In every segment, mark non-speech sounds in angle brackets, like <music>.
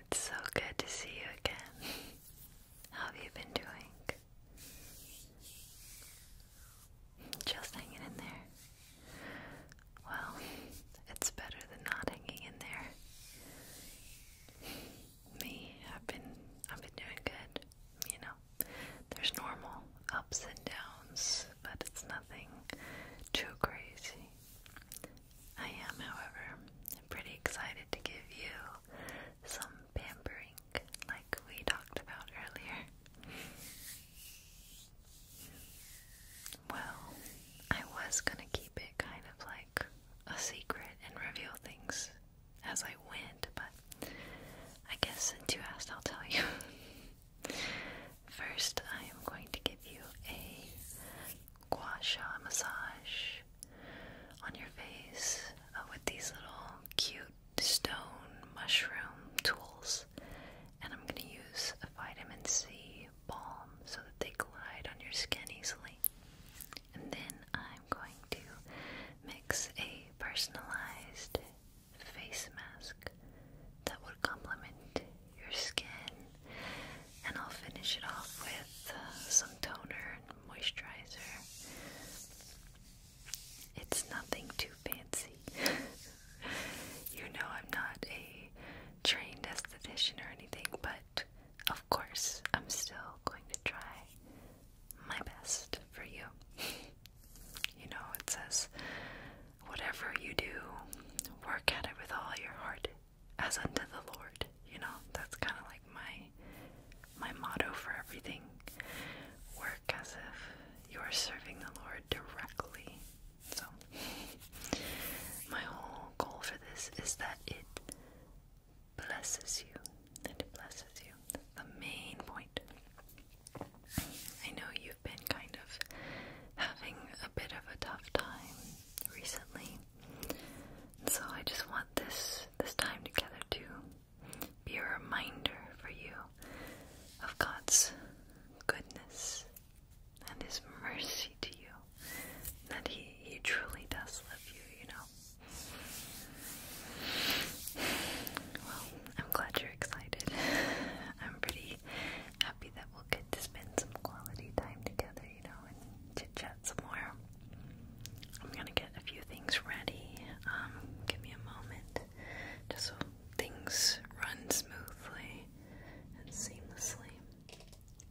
It's so good to see you again. <laughs> How have you been doing? Just hanging in there. Well, it's better than not hanging in there. Me, I've been I've been doing good, you know. There's normal ups and downs, but it's nothing too crazy. I am, however, pretty excited to give you some pampering like we talked about earlier. Well, I was gonna keep it kind of like a secret and reveal things as I went, but I guess since you asked, I'll tell you. <laughs> First, I am going to give you a gua sha massage on your face uh, with these little cute stone mushroom tools. And I'm going to use a vitamin C balm so that they glide on your skin easily. And then I'm going to mix a personalized face mask that will complement your skin and I'll finish it off with uh, some toner and moisturizer. It's nothing too fancy. <laughs> you know, I'm not a trained esthetician or anything, but of course, I'm still going to try my best for you. <laughs> you know, it says, whatever you do, work at it with all your heart as unto the Lord. You know, that's kind of like my my motto for everything. Work as if you are serving the Lord directly. So my whole goal for this is that it blesses you. and it blesses you. the main point. I know you've been kind of having a bit of a tough time recently. So I just want this this time together to be a reminder for you of God's goodness and his mercy to you. That he, he truly does love you, you know. Well, I'm glad you're excited. <laughs> I'm pretty happy that we'll get to spend some quality time together to, chat some more. I'm gonna get a few things ready. Um, give me a moment just so things run smoothly and seamlessly.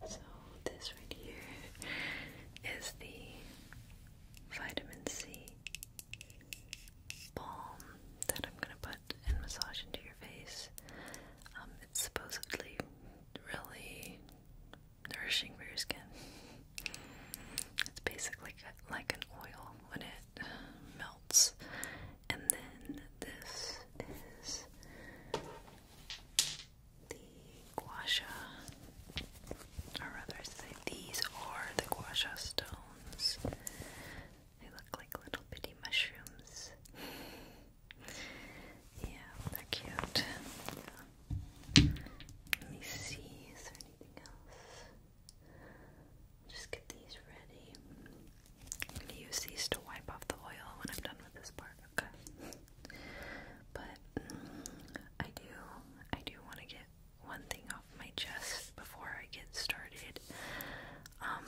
So, this right here is the vitamin C balm that I'm gonna put and massage into your face. Um, it's supposedly really nourishing for your skin. It's basically like an oil when it melts. And then this is the gua sha. Or rather, these are the gua sha stones. They look like little bitty mushrooms. Yeah, they're cute. Let me see, is there anything else? Just get these ready. I'm going to use these to wipe off the oil when I'm done with this part, okay? But mm, I do, I do want to get one thing off my chest before I get started. Um,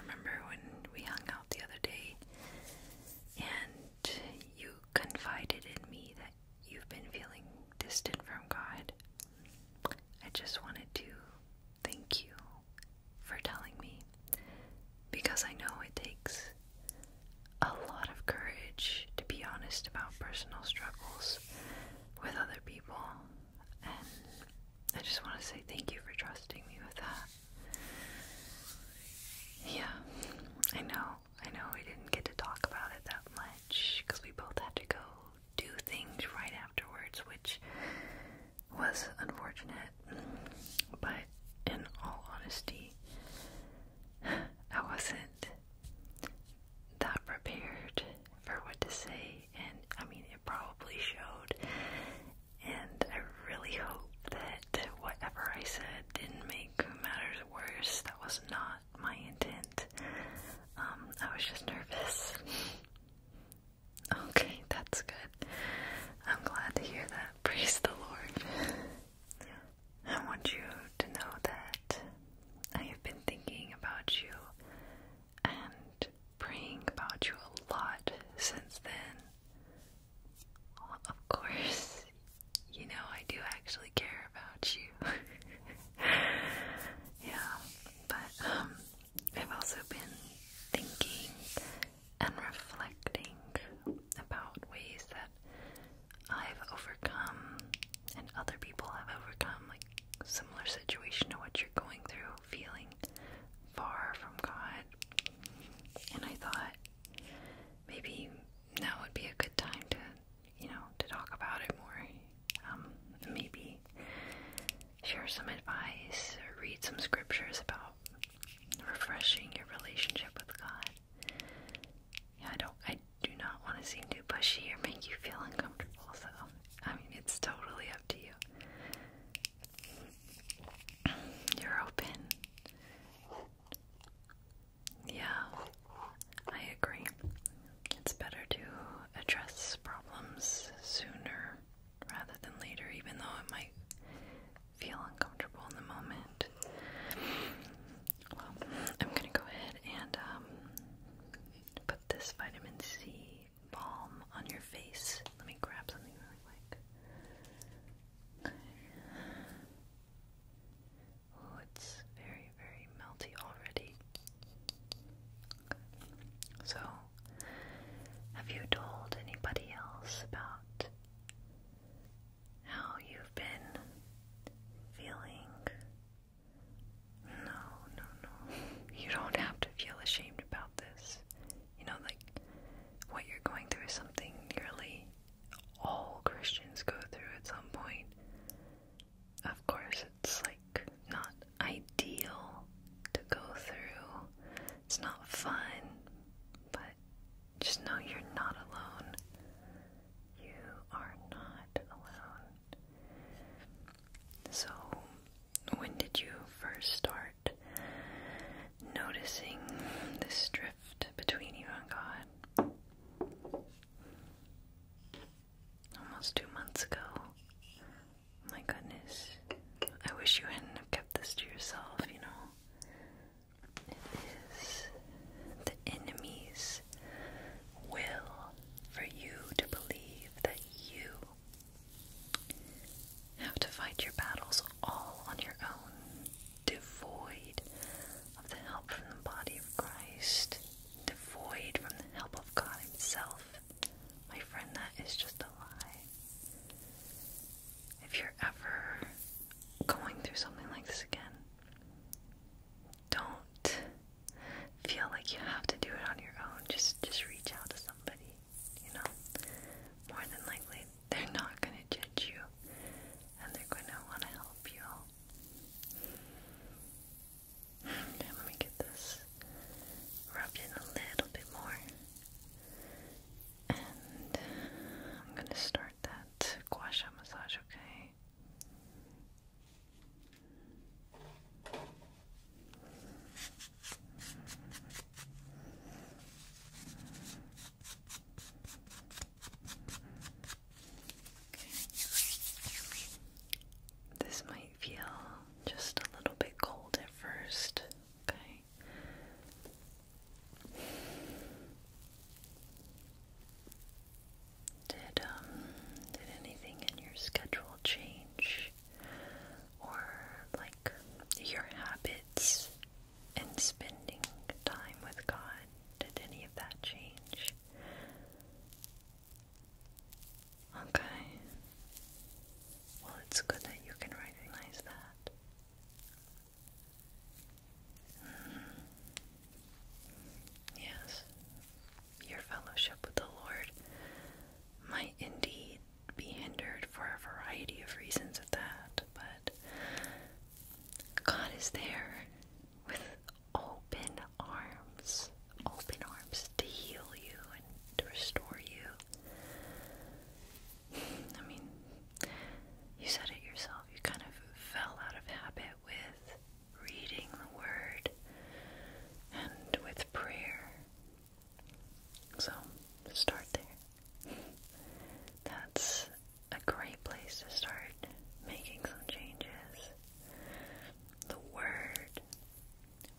remember when we hung out the other day and you confided in me that you've been feeling distant from God. I just wanted to thank you for telling me because I know it takes a lot of courage to be honest about personal struggles with other people, and I just want to say thank you for trusting me with that. Yeah, I know. I know we didn't get to talk about it that much because we both had to go do things right afterwards, which was unfortunate. But in all honesty, I wasn't that prepared for what to say, and I mean, it probably showed and I really hope that whatever I said didn't make matters worse. That was not my intent. Um, I was just nervous. okay, that's good. I'm glad to hear that. Praise the Lord. I want you to know that I have been thinking about you and praying about you a lot since then of course, you know I do actually care about you. <laughs> yeah, but um, I've also been thinking and reflecting about ways that I've overcome and other people have overcome like similar situation to what you're going through, feeling far from God. And I thought maybe that would be a good time to, you know, to talk about it more. Um, maybe share some advice or read some scriptures about refreshing your relationship with God. Yeah, I don't, I do not want to seem too pushy or make you feel uncomfortable. So, I mean, it's totally up to you. You're open. Yeah, I agree. It's better to address problems sooner rather than later, even though it might feel uncomfortable in the moment. Well, I'm gonna go ahead and um, put this vitamin C balm on your face. Let me grab something really quick. Oh, it's very, very melty already. So, have you told anybody else about how you've been feeling? No, no, no. <laughs> You don't have to feel ashamed about this. You know, like what you're going through is something nearly all Christians go through at some point. Of course, it's like not ideal to go through, it's not fun, but just know you're not alone. You are not alone. So, when did you first start noticing this drift? between you and God. Almost two months ago. My goodness. I wish you hadn't have kept this to yourself, you know. It is the enemy's will for you to believe that you have to fight your battles all on your own devoid of the help from the body of Christ, devoid from the help of God Himself, my friend, that is just a lie. If you're ever going through something like this again, don't feel like you have to do it on your own. Just just reach out to somebody, you know. More than likely they're not going to judge you and they're going to want to help you. let me get this rubbed in a little bit more. And I'm going to start that gua sha massage, Okay. Okay. This might feel just a little bit cold at first. Okay. Did um did anything in your schedule change or like your habits in spending time with God? Did any of that change? Okay. Well, it's good that you can recognize that. Mm-hmm. Yes, your fellowship with the Lord might indeed be hindered for a variety of reasons at that, but God is there with open arms, open arms to heal you and to restore you. I mean, you said it yourself, you kind of fell out of habit with reading the Word and with prayer. So, start there. That's a great place to start making some changes. The Word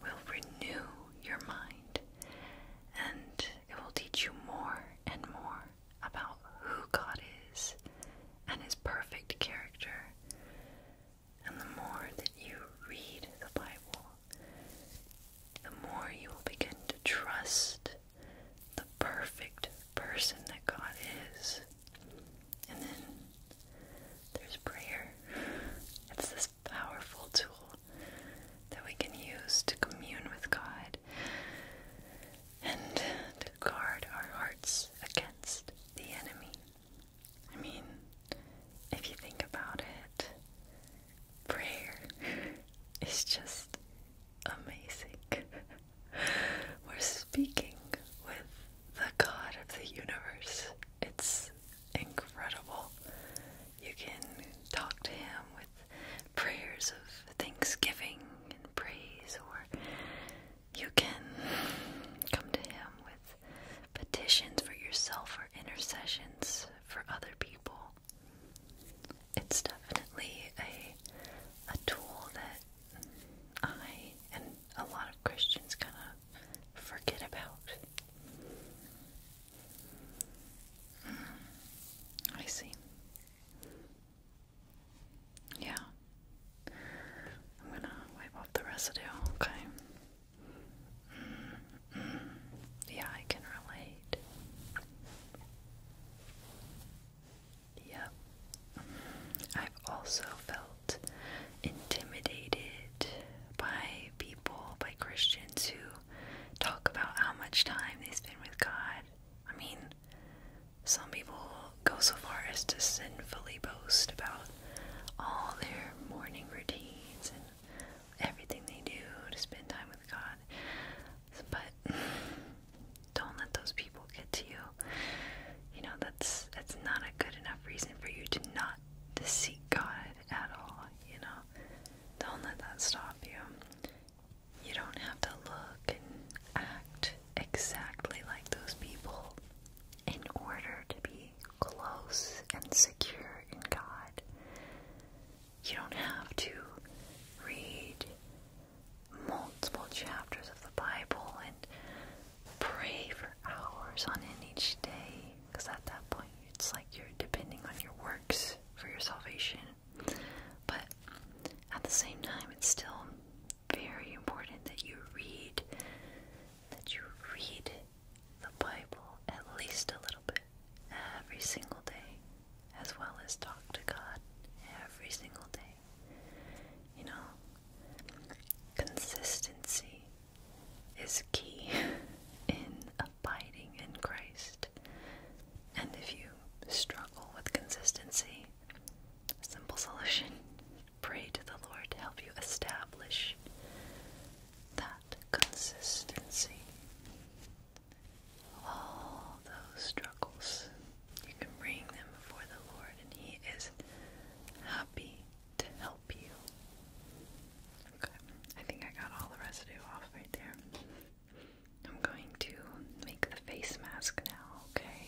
will renew your mind and it will teach you more and more about who God is and His perfect character. And the more that you read the Bible, the more you will begin to trust the perfect person that God is. And then there's prayer. It's this powerful tool that we can use to commune with God and to guard our hearts against the enemy. I mean, if you think about it, prayer is just amazing. <laughs> We're speaking with the God of the universe. It's incredible. You can talk to Him with prayers of thanksgiving and praise, or you can come to Him with petitions for yourself or intercessions for other people it's definitely a a tool that I and a lot of Christians kind of forget about. Mm, I see. Yeah. I'm going to wipe off the residue, okay? Mm, mm. yeah, I can relate. Yeah. I've also felt intimidated by people, by Christians who talk about how much time they spend with God. I mean, some people go so far as to sinfully boast about all their morning routines and everything they do to spend time with God. But don't let those people get to you. You know, that's that's not a good enough reason for you to not to seek God at all, you know. Don't let that stop you. You don't have to look and act exactly like those people in order to be close and secure in God. You don't have to read multiple chapters of the Bible and pray for hours on end each day because at that point it's like you're depending on your works for your salvation. But at the same time, it's still very important that you read, that you read the Bible at least a little bit every single day, as well as talk to God every single day. You know, consistency is key <laughs> in abiding in Christ. And if you struggle with consistency, simple solution pray to the Lord to help you establish that consistency. All those struggles you can bring them before the Lord, and He is happy to help you. Okay, I think I got all the residue off right there. I'm going to make the face mask now, okay?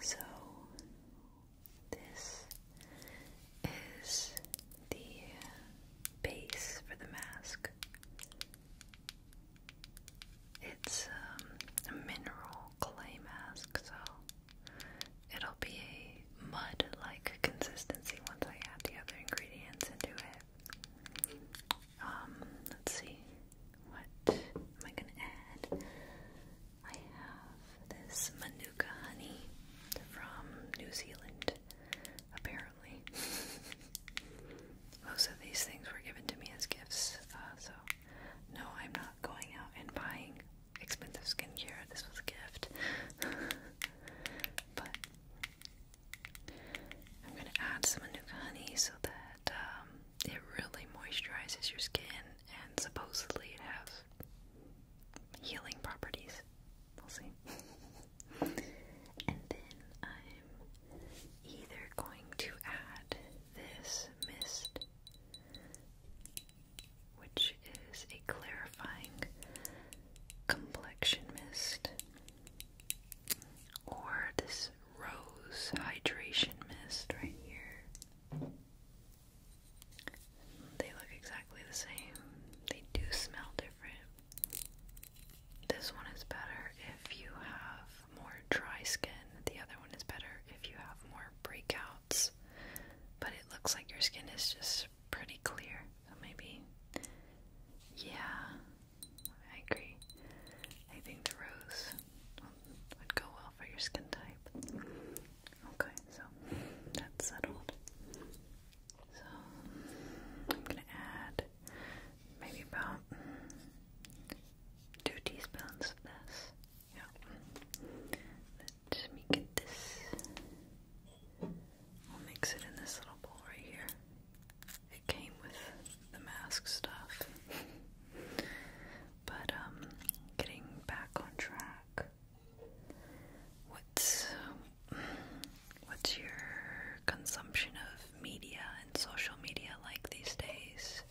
So, this is the base for the mask. It's um, a mineral clay mask, so it'll be a mud like consistency once I add the other ingredients into it. Um, let's see, what am I gonna add? I have this Manuka honey from New Zealand, apparently. <laughs> Most of these things were given to me as gifts, uh, so no, I'm not going out and buying expensive skincare. This was a gift. <laughs> but I'm going to add some Manuka honey so that um, it really moisturizes your skin and supposedly it has healing properties. We'll see. <laughs> and then I'm either going to add this mist, which is a clarifying complexion mist, or this rose hydration mist right here. They look exactly the same, they do smell different. This one is better if you have more dry skin. The other one is better if you have more breakouts. But it looks like your skin is just pretty clear. So maybe, yeah, I agree. I think the rose would go well for your skin type. Okay, so that's settled. So I'm gonna add maybe about two teaspoons of this. Yeah. Let me get this. I'll mix it in this little bowl right here. It came with the mask stuff. <laughs> but um getting back on track. What's what's your consumption of media and social media like these days?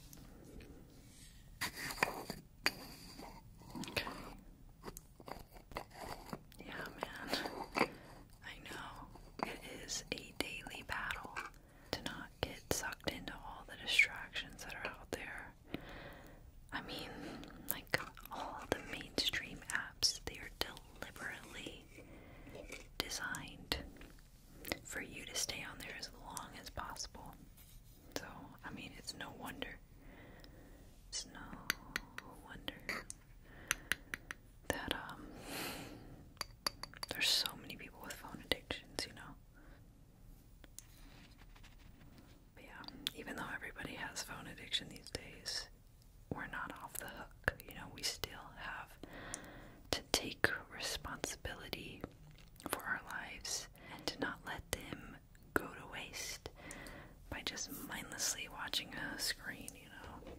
Yeah, man. I know. It is a daily battle to not get sucked into all the distractions that are out there. I mean, like all the mainstream apps, they are deliberately designed for you to stay on there as long as possible. So, I mean, it's no wonder. It's no wonder that, um, there's so many people with phone addictions, you know? yeah, even though everybody has phone addiction these days, we're not off the hook. You know, we still have to take responsibility for our lives and to not let them go to waste by just mindlessly watching a screen, you know.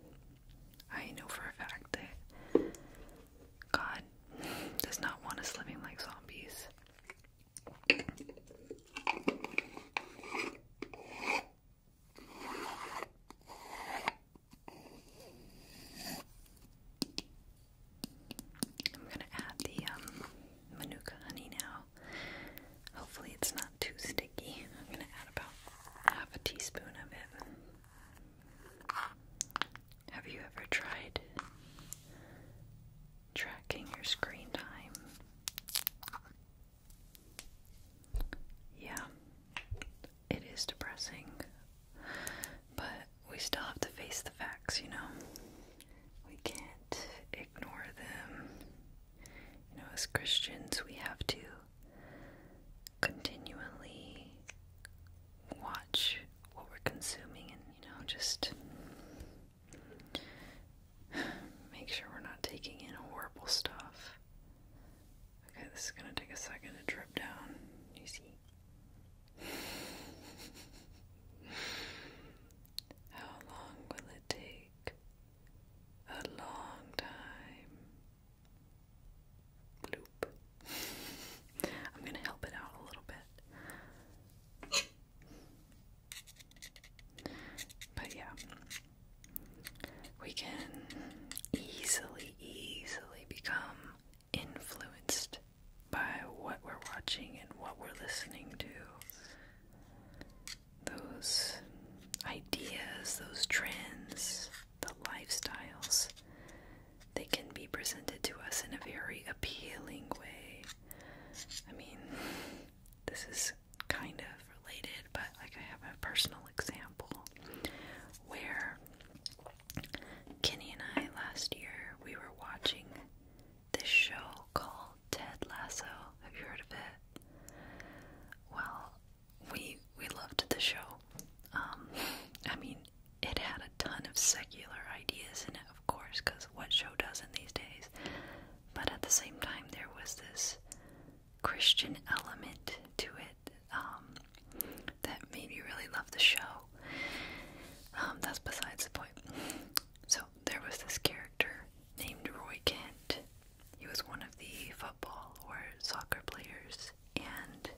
I know for a fact that God <laughs> does not want us living like zombies. I'm gonna add the um, manuka honey now. Hopefully, it's not too sticky. I'm gonna add about half a teaspoon of it. Have you ever tried tracking your screen time? Yeah, it is depressing. But we still have to face the facts, you know? We can't ignore them. You know, as Christians, we have to continually watch what we're consuming and, you know, just make sure we're not taking in horrible stuff. Okay, this is gonna take a second to drip down. You see? <sighs> How long will it take? A long time. <laughs> I'm going to help it out a little bit. But yeah, we can easily, easily become influenced by what we're watching and what we're listening to. Those ideas, those trends, the lifestyles, they can be presented to us in a very appealing way. I mean, this is kind of related, but like I have a personal example where Kenny and I last year we were watching this show called Ted Lasso. Have you heard of it? Well, we we loved the show. Um, <laughs> I mean, it had a ton of secular ideas in it, of course, because what show doesn't these days? But at the same time, there was this Christian element to it um, that made me really love the show. Um, that's besides the point so there was this character named Roy Kent. He was one of the football or soccer players, and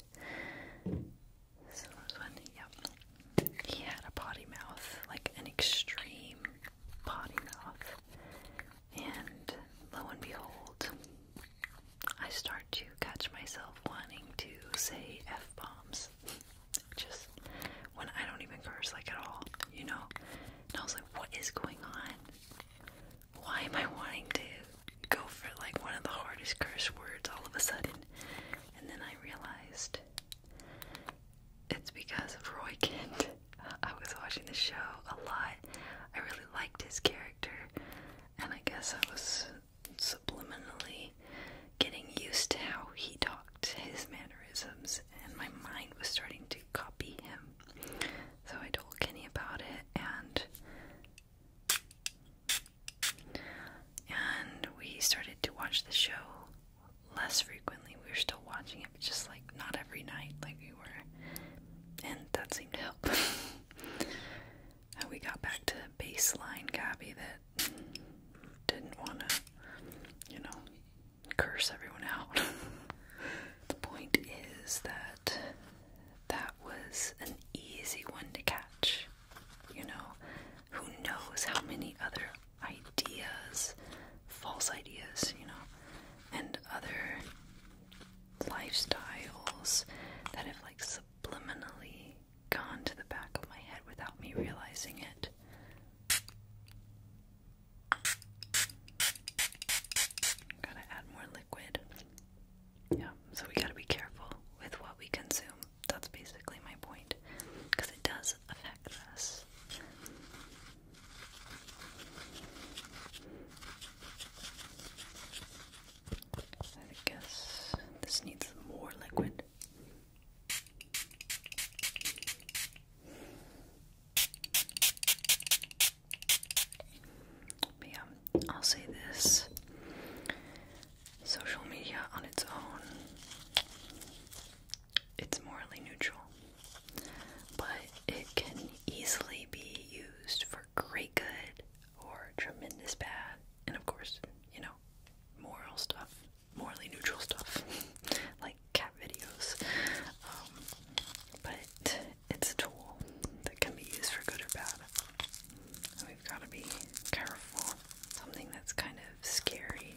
this one, yep. He had a potty mouth, like an extreme potty mouth. And lo and behold, I start to catch myself wanting to say F bombs. Just when I don't even curse like at all, you know? And I was like, what is going on? Why am I wanting to go for like one of the hardest curse words all of a sudden? And then I realized it's because of Roy Kent. <laughs> I was watching the show a lot. I really liked his character, and I guess I was subliminally getting used to how he talked, his mannerisms, and my mind was starting to copy him. So I told Kenny about it and and we started to watch the show less frequently. We were still watching it, but just like not every night like we were. And that seemed to help. <laughs> and we got back to baseline Gabby that didn't want to, you know, curse everyone out. <laughs> the point is that that was an easy one to catch. You know, who knows how many other ideas, false ideas, you know, and other lifestyles that have like subliminally gone to the back of my head without me realizing it. Gotta add more liquid. Yeah, so we gotta be careful with what we consume. That's basically my point. Because it does affect us. I guess this needs more liquid yeah, I'll say this social media on its own, it's morally neutral, but it can easily be used for great good or tremendous bad, and of course, you know, moral stuff morally neutral stuff, <laughs> like cat videos. Um, but it's a tool that can be used for good or bad. And we've got to be careful. Something that's kind of scary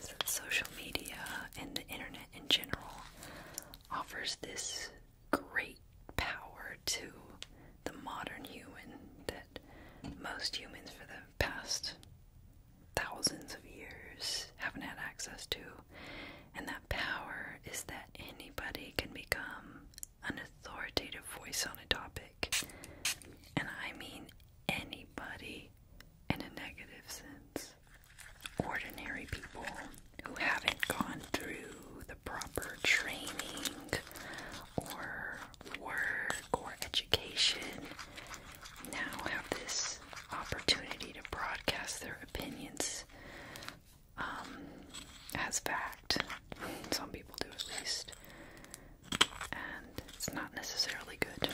is that social media and the internet in general offers this great power to the modern human that most humans for the past thousands of years haven't had access to. And that power is that anybody can become an authoritative voice on a topic. And I mean anybody in a negative sense. Ordinary people who haven't gone through the proper training or work or education now have this opportunity to broadcast their opinions um, as fact. Some people do at least. And it's not necessarily good.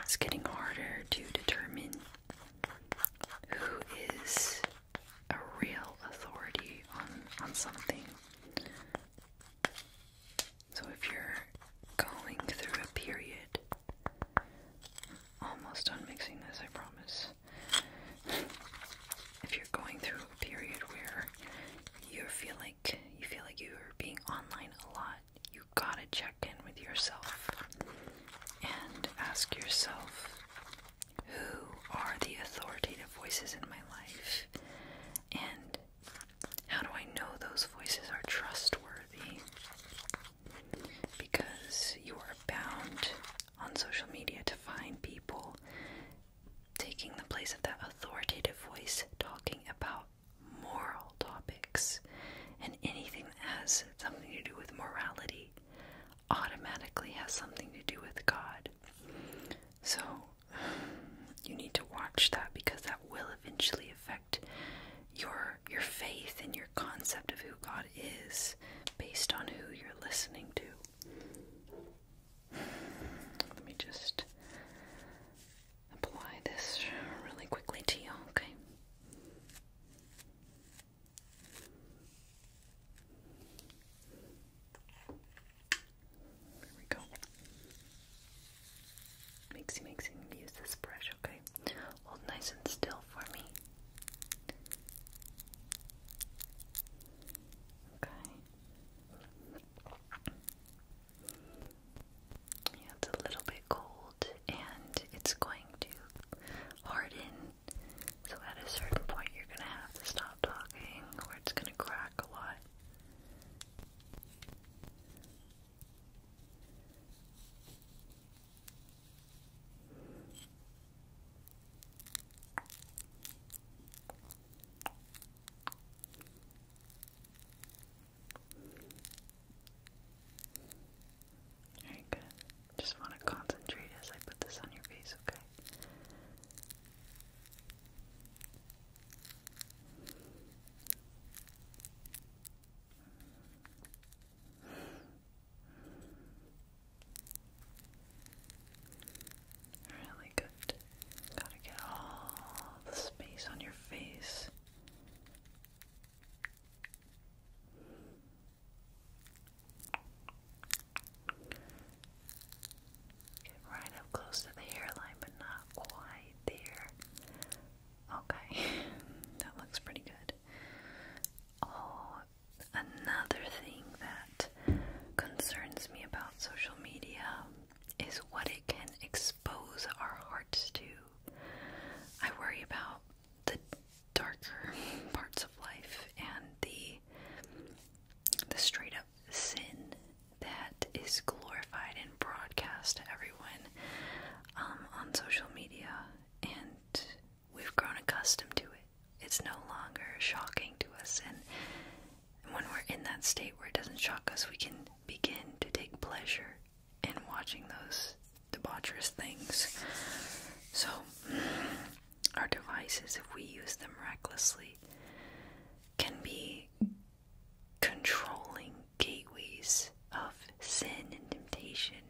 It's getting harder to determine who is a real authority on on something so if you're going through a period, almost done mixing this, I promise. If you're going through a period where you feel like you feel like you're being online a lot, you gotta check in with yourself and ask yourself who are the authoritative voices in my life? And how do I know those voices are trustworthy? Because you are bound on social media to find people taking the place of that authoritative voice talking about moral topics and anything that has something to do with morality automatically has something to do with God. So, you need to watch that because that will eventually affect your your faith and your concept of who God is based on who you're listening to. Let me just apply this really quickly to you, okay? There we go. Mixy, mixy, use this brush, okay? Hold nice and still for me. Okay. it's a little bit cold and it's going to harden. So at a certain point, you're gonna have to stop talking, or it's gonna crack a lot. Very good. Just want to concentrate as I put this on your face, okay? Really good. Gotta get all the space on your face right up close to the hairline, but not quite there. Okay, <laughs> that looks pretty good. Oh, another thing that concerns me about social media is what it can expose our hearts to. I worry about the darker <laughs> parts of life and the the straight up sin that is glorified and broadcast to everyone um, on social media, and we've grown accustomed to it. It's no longer shocking to us, and when we're in that state where it doesn't shock us, we can begin to take pleasure in watching those debaucherous things. So, our devices, if we use them recklessly, can be controlling gateways of sin and temptation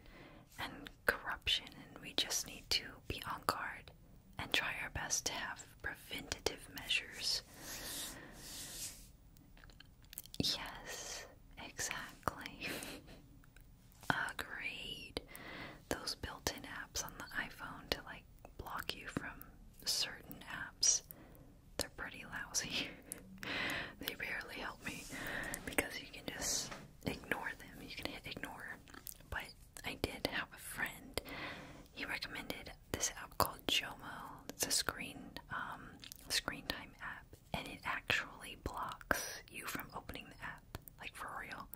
and corruption, and we just need to be on guard and try our best to have preventative measures. Yes, exactly. <laughs> Agreed. Those built in apps on the iPhone to like block you from certain apps they're pretty lousy. <laughs> they barely help me because you can just ignore them. You can hit ignore. But I did have a friend. He recommended this app called Jomo. It's a screen um, screen time app, and it actually blocks you from opening the app, like for real.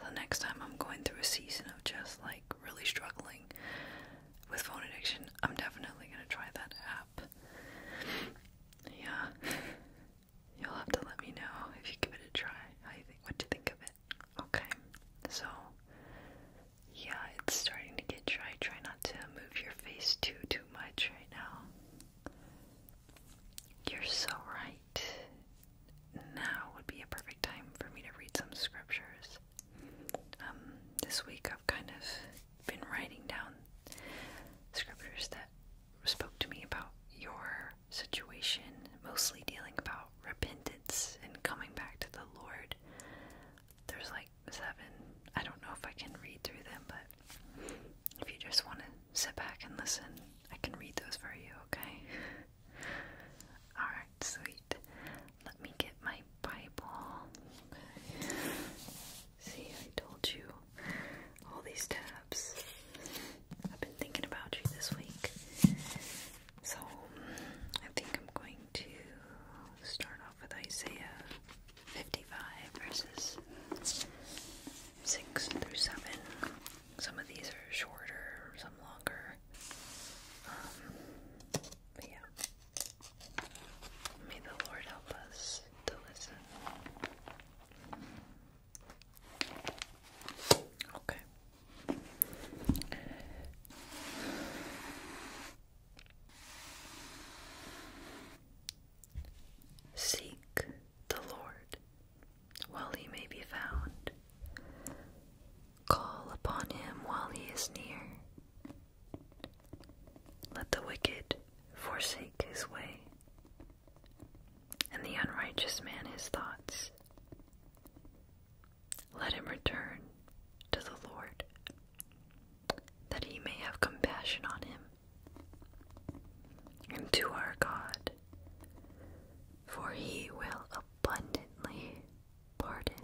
So next time I'm going through a season of just like really struggling with phone addiction, I'm definitely gonna try that app. Yeah. You'll have to let me know if you give it a try. How you think what do you think of it. Okay. So yeah, it's starting to get dry. Try not to move your face too too much right now. You're so right. Now would be a perfect time for me to read some scriptures. Um, this week I've kind of been writing down scriptures that spoke to me about your situation, mostly dealing about repentance and coming back to the Lord. There's like seven. I don't know if I can read through them, but if you just want to sit back and listen, I can read those for you, okay? <laughs> Alright, sweet. Let me get my Bible. See, I told you all these tabs. I've been thinking about you this week. So, I think I'm going to start off with Isaiah 55, verses 6 through 7. Some of these are shorter, some longer. Um, yeah. May the Lord help us to listen. Okay. Seek the Lord while he may be found. Call upon him while he is near. Let the wicked forsake his way, and the unrighteous man his thoughts. Let him return to the Lord, that he may have compassion on him, and to our God, for he will abundantly pardon.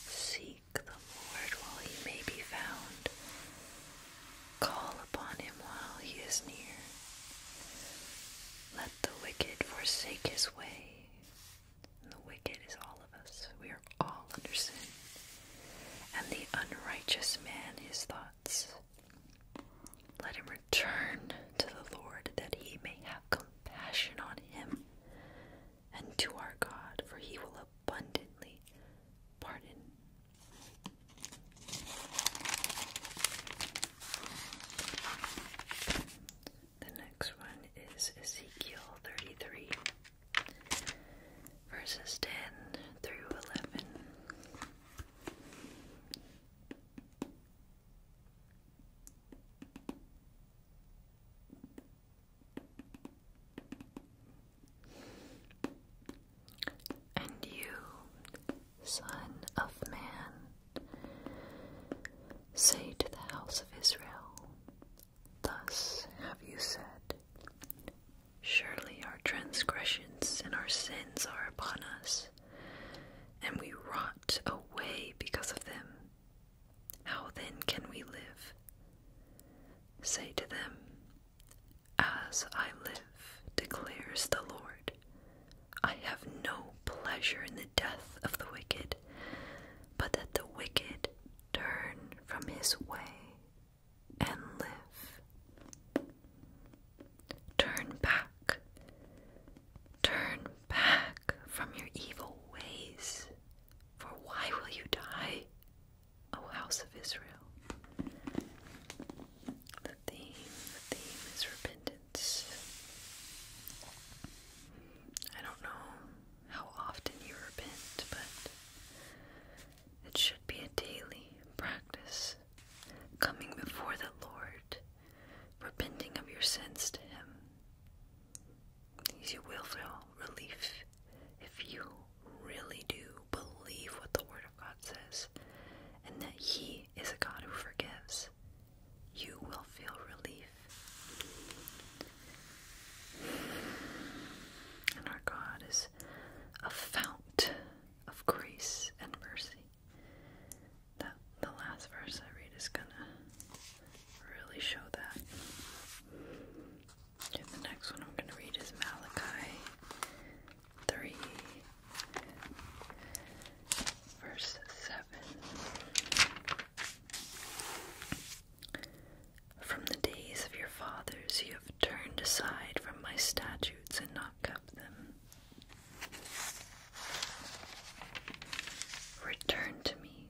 Seek the Lord while he may be found. Call upon him while he is near. Let the wicked forsake his way. the wicked is all of us. We are all under sin. And the unrighteous man his thoughts. Let him return to the Lord that he may have compassion on him, and to our God, for he will abundantly pardon. The next one is Ezekiel 33, verses 10 through 11. And you, Son of Man, say to the house of Israel, Thus have you said, Surely our transgressions and our sins are upon us, and we rot away because of them. How then can we live? Say to them, As I live, declares the Lord, I have no pleasure in the death of the wicked, but that the wicked turn from his way and live. Turn back. Turn back from your evil ways, for why will you die, O house of Israel? The theme, the theme is repentance. I don't know how often you repent, but it should be a daily practice coming before the Lord repenting of your sins to Him. You will feel relief if you really do believe what the Word of God says and that He is a God who forgives. You will feel relief. And our God is a fount of grace and mercy. That the last verse I read is gonna really show that. the next one I'm gonna read is Malachi three verse seven. From the days of your fathers you have turned aside from my statutes and not kept them. Return to me,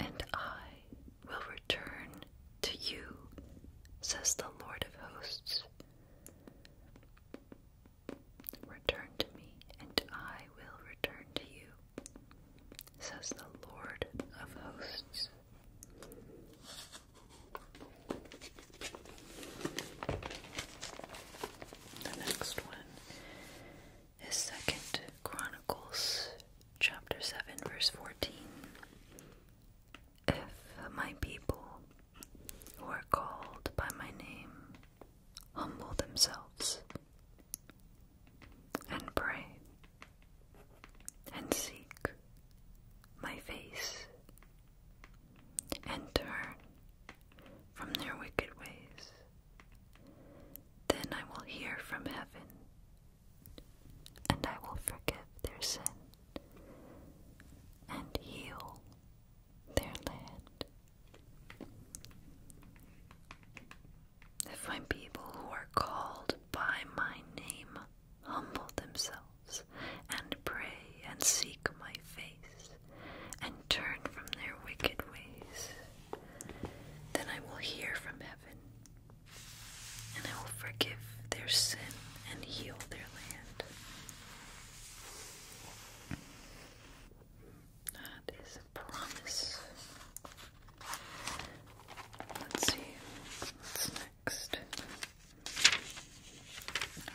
and I will return to you, says the Lord of hosts. Return to me, and I will return to you, says the Lord of hosts. The next one is Second Chronicles chapter 7 verse 14. If my people who are called by my name humble themselves and pray and seek my face and turn from their wicked ways, then I will hear from heaven, and I will forgive their sin and heal their land. If my people who are called by my name humble themselves and pray and seek my face and turn from their wicked ways. Then I will hear from heaven, and I will forgive their sin and heal their land. That is a promise. Let's see what's next.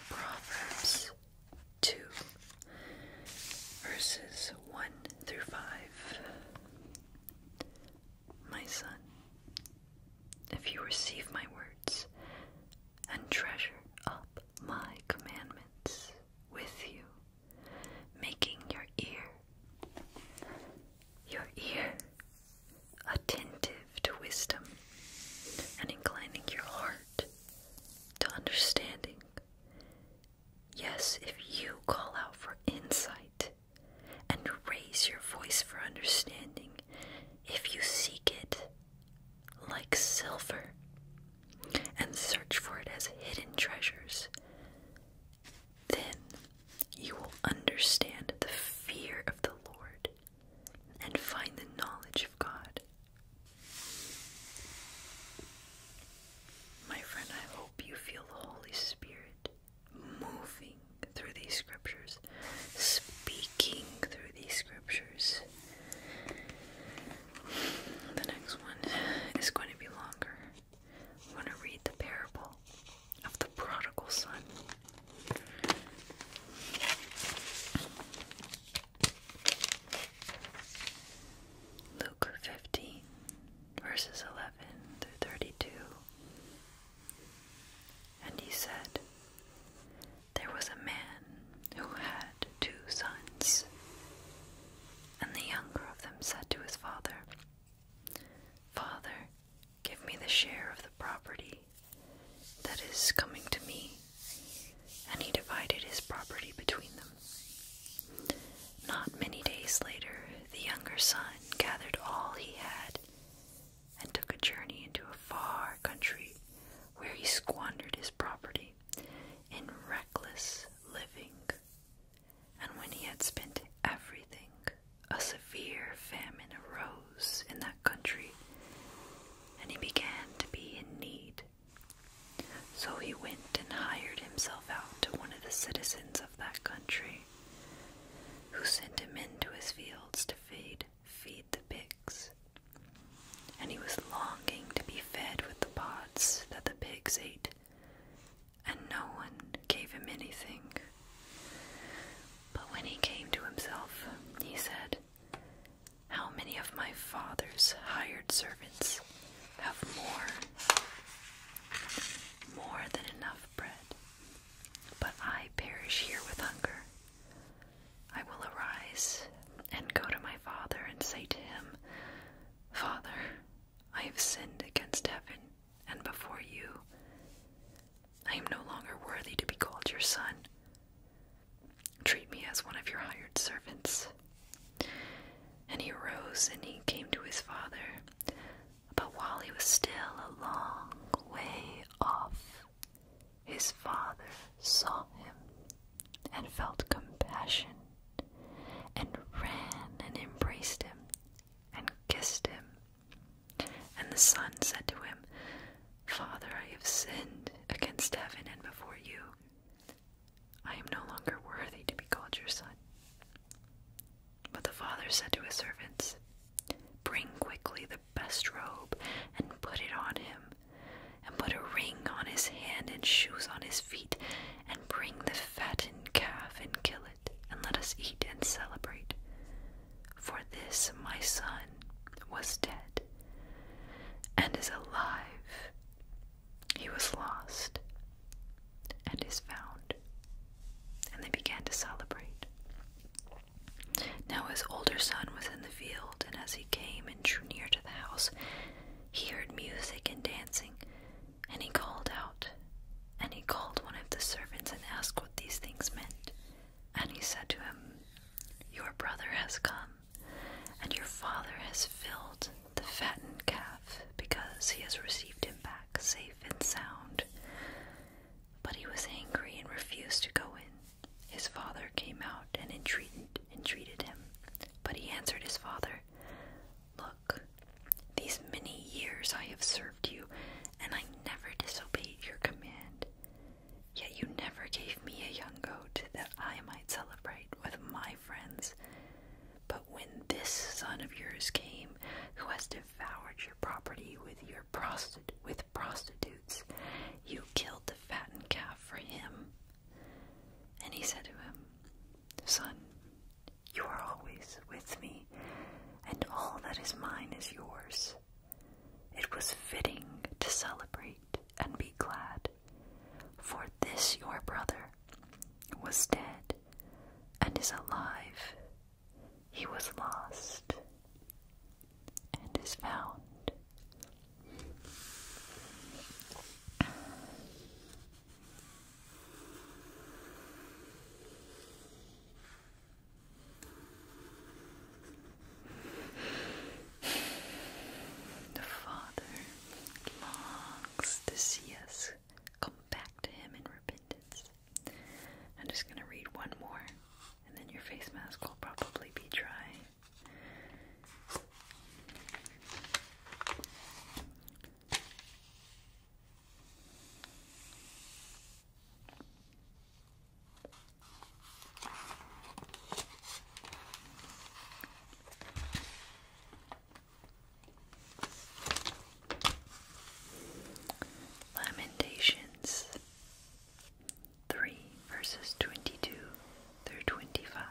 Proverbs 2, verses 1 through 5. My son, if you receive my words and treasure up my commandments with you, making your ear, your ear, attentive to wisdom and inclining your heart to understanding Yes, if you call out for insight and raise your voice for understanding, if you seek it like silver and search for it as hidden treasures, then you will understand the fear of the Lord and find the knowledge of God. My friend, I hope you feel the Holy Spirit moving through these scriptures, speaking through these scriptures. The next one is going to be longer. I'm going to read the parable of the prodigal son. Luke 15, verses 11 through 32. And he said, There was a man who had two sons. And the younger of them said to his father, Father, give me the share of the property that is coming to me. And he divided his property between them. Not many days later, the younger son gathered all he had and took a journey into a far country where he squandered his property in reckless living. And when he had spent everything, a severe famine arose in that country, and he began to be in need. So he went and hired himself out to one of the citizens of that country, who sent him into his fields to feed, feed the pigs. And he was longing to be fed with the pods that the pigs ate, and no one gave him anything. But when he came to himself, he said, How many of my father's hired servants have more, more than enough bread. But I perish here with hunger. I will arise and go to my father and say to him, Father, I have sinned against heaven and before you. I am no longer worthy to be called your son. Treat me as one of your hired servants. And he rose and he came to his father. But while he was still a long way off, his father saw him and felt compassion and ran and embraced him and kissed him. And the son said to him, Father, I have sinned against heaven and before you, I am no longer worthy to be called your son. But the father said to his servants, Bring quickly the best robe and put it on him, and put a ring on his hand and shoes on his feet, and bring the fattened calf and kill it, and let us eat and celebrate. For this my son was dead and is alive he was lost and is found. And they began to celebrate. Now his older son was in the field, and as he came and drew near to the house, he heard music and dancing, and he called out. And he called one of the servants and asked what these things meant. And he said to him, Your brother has come, and your father has filled the fattened calf because he has received him back safe and sound. But he was angry and refused to go in. His father came out and entreated, him. But he answered his father, Look, these many years I have served you, and I never disobeyed your command. Yet you never gave me a young goat that I might celebrate with my friends. But when this son of yours came, who has devoured your property with your prostitutes, you killed the fattened calf for him. And he said to him, Son, you are always with me, and all that is mine is yours. It was fitting to celebrate and be glad, for this your brother was dead and is alive. He was lost and is found. The Father longs to see us come back to Him in repentance. I'm just going to read one more, and then your face mask will probably be dry. Lamentations 3 verses 22 through 25.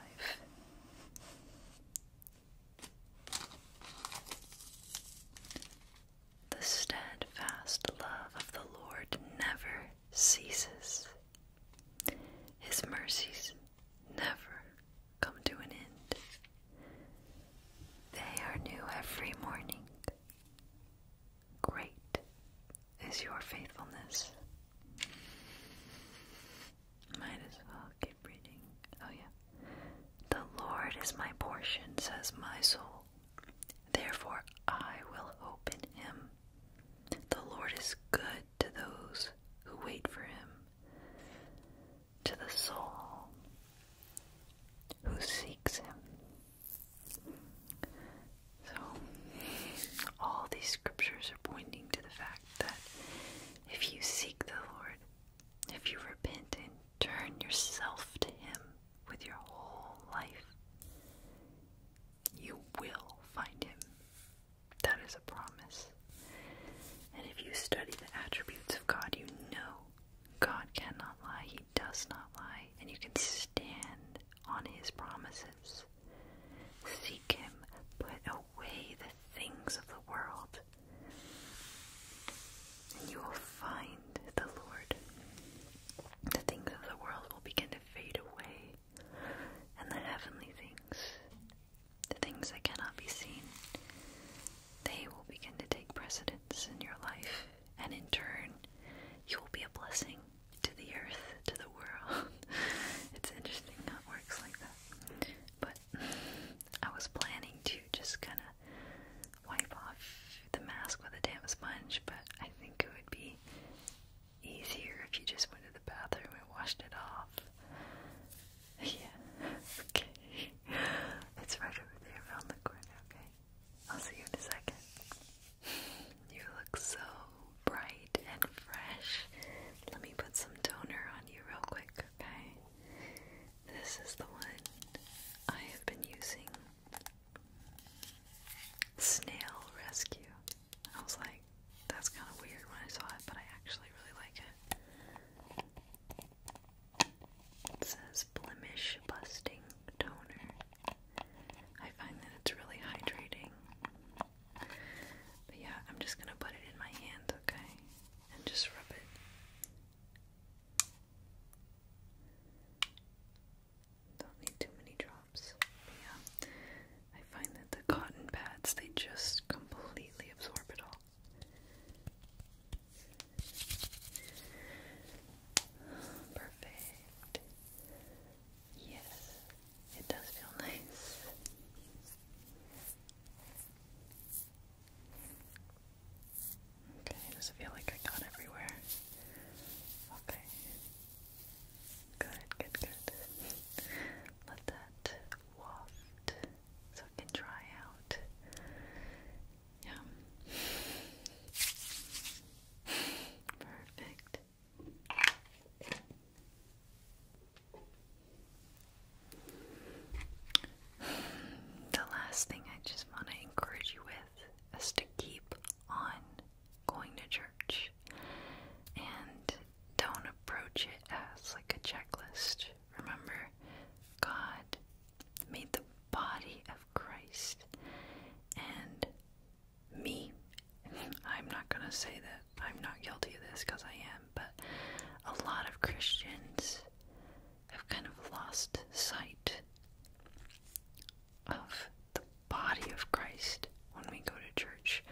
The steadfast love of the Lord never ceases. His mercies never come to an end. They are new every morning. Great is your faithfulness. Might as well keep reading. Oh, yeah. The Lord is my portion, says my soul. Therefore, I will hope in him. The Lord is good to those who wait for him, to the soul who seeks him. So, all these scriptures are pointing to the fact that if you seek the Lord, if you repent and turn yourself to Him with your whole life, you will find Him. That is a promise. And if you study the attributes of God, you know God cannot lie, He does not lie, and you can stand on His promises. Seek Him, put away the things of the world, and you will find the Lord. The things of the world will begin to fade away, and the heavenly things the things that cannot be seen, they will begin to take precedence in your life, and in turn, you will be a blessing to the earth, to the world. <laughs> it's interesting how it works like that. But <laughs> I was planning to just kind of wipe off the mask with a damp sponge, but I think it would be easier if you just went to the bathroom and washed it off. Yeah. <laughs> Okay. It's right over there around the corner, okay? I'll see you in a second. You look so bright and fresh. Let me put some toner on you real quick, okay? This is the one I have been using. Snail Rescue. I was like, that's kind of weird when I saw it, but I actually really like it. It says Blemish Busting Toner. I find that it's really hydrating. But yeah, I'm just gonna put it in my hand, okay? And just rub it. Don't need too many drops. yeah, I find that the cotton pads, they just completely absorb it all. Perfect. Yes, it does feel nice. Okay, does it feel like I got everywhere? Okay. Good, good, good. Let that waft so it can dry out. Yeah. Perfect. The last thing I just want to encourage you with is to keep on going to church and don't approach it as like a checklist Remember, God made the body of Christ and me. <laughs> I'm not going to say that I'm not guilty of this because I am, but a lot of Christians have kind of lost sight of the body of Christ when we go to church.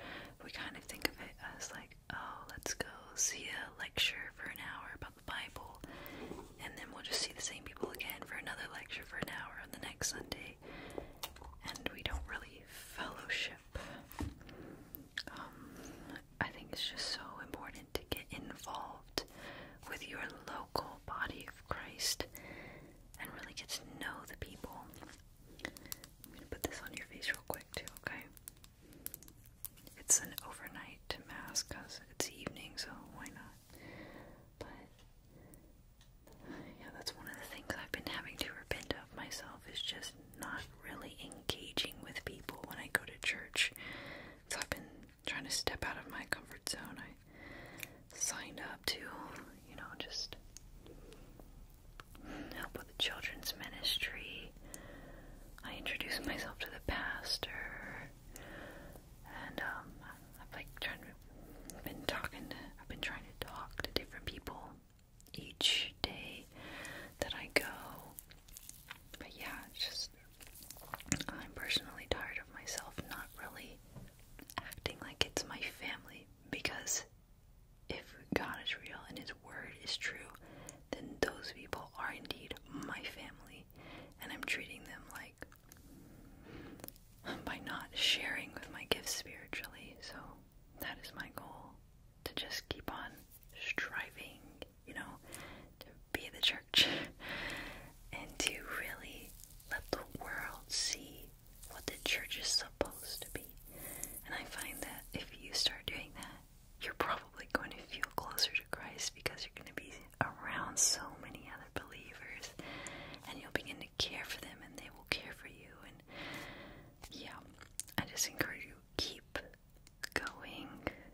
We kind of think of it as like oh, let's go see a lecture for an hour about the Bible, and then we'll just see the same people again for another lecture for an hour on the next Sunday, and we don't really fellowship. Um, I think it's just so important to get involved with your local body of Christ and really get to know the people. I'm gonna put this on your face real quick, too, okay? It's an overnight mass because it's evening, so why not? But yeah, that's one of the things I've been having to repent of myself is just not really engaging with people when I go to church. So I've been trying to step out of my comfort zone. I signed up to, you know, just help with the children's ministry I introduce myself to the pastor, and um, I've like been talking to, I've been trying to talk to different people each day that I go. But yeah, just I'm personally tired of myself not really acting like it's my family because if God is real and His word is true, then those people are indeed my family, and I'm treating them like by not sharing with my gifts spiritually. So that is my goal to just keep on striving, you know, to be the church <laughs> and to really let the world see what the church is supposed to be. And I find that if you start doing that, you're probably going to feel closer to Christ because you're going to be around so many other believers and you'll begin to care for them and they will care for you. And yeah, I just encourage you keep going,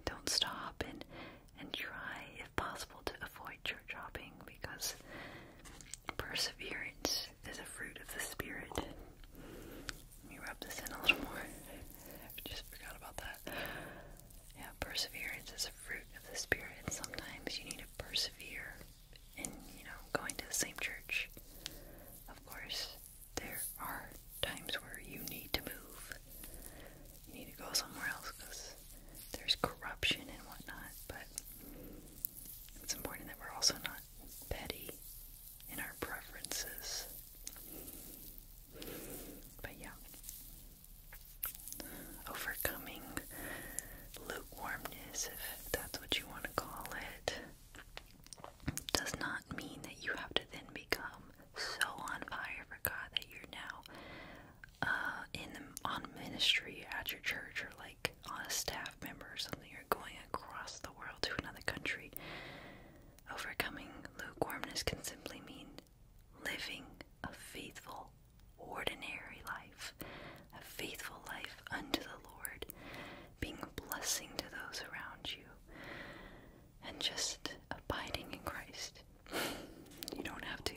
don't stop, and, and try, if possible, to avoid church hopping because perseverance is a fruit of the Spirit. Let me rub this in a little more. I just forgot about that. Yeah, perseverance is a fruit of the Spirit. Sometimes you need to persevere in, you know, going to the same church. Of course, there are times where you need to move. You need to go somewhere else because there's corruption and whatnot, but it's important that we're also not petty in our preferences. But yeah. Overcoming lukewarmness, if that's what you want to call it, does not mean that you have to then become so on fire for God that you're now uh, in the, on ministry at your church or like on a staff member or something. You're going across the world to another country. Overcoming lukewarmness can simply mean living a faithful, ordinary life, a faithful life unto the Lord, being a blessing to those around you, and just abiding in Christ. <laughs> You don't have to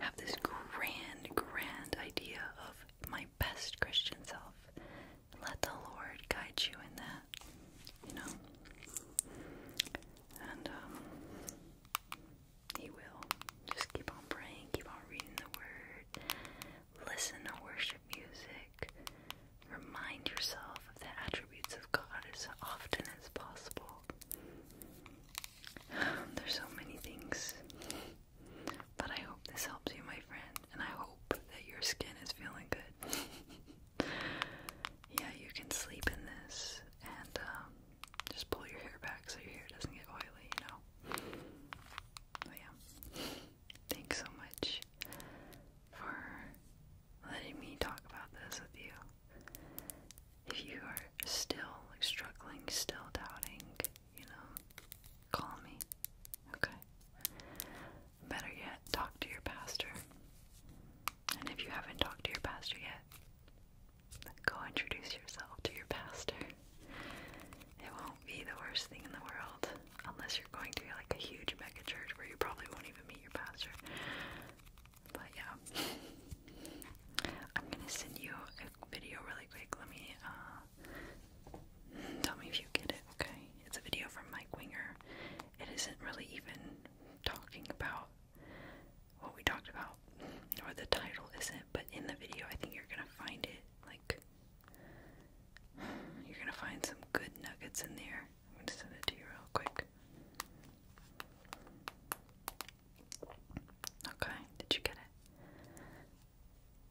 have this grand, grand idea of my best Christian self. Let the Lord guide you in that, you know? And um, he will. Just keep on praying, keep on reading the word, listen to worship music, remind yourself of the attributes of God as often as possible. <sighs> There's so many things. But I hope this helps you, my friend, and I hope that your skin is feeling good. <laughs> yeah, you can sleep in this and um, just pull your hair back so your hair doesn't get oily, you know. yeah, thanks so much for letting me talk about this with you. If you are still struggling, still doubting, you know, call me. Okay. Better yet, talk to your pastor. And if you haven't talked to your pastor yet, go introduce yourself to your pastor. It won't be the worst thing in the world unless you're going to like a huge mega church where you probably won't even meet your pastor. But yeah. I'm gonna send you a video really quick. Let me uh, tell me if you get it, okay? It's a video from Mike Winger. It isn't really even talking about what we talked about, or the title isn't, but in the video, I think you're gonna find it. Like, you're gonna find some good nuggets in there. I'm gonna send it to you real quick. Okay, did you get it?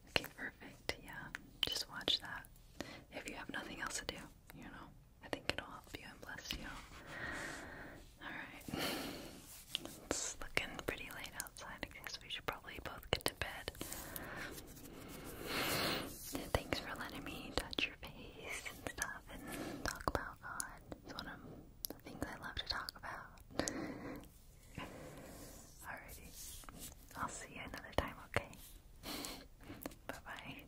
Okay, perfect. Yeah, just watch that. If you have nothing else to do, you know. I think it'll help you and bless you. Alright. It's looking pretty late outside. I guess we should probably both get to bed. Thanks for letting me touch your face and stuff and talk about God. It's one of the things I love to talk about. Alrighty. I'll see you another time, okay? <laughs> Bye bye.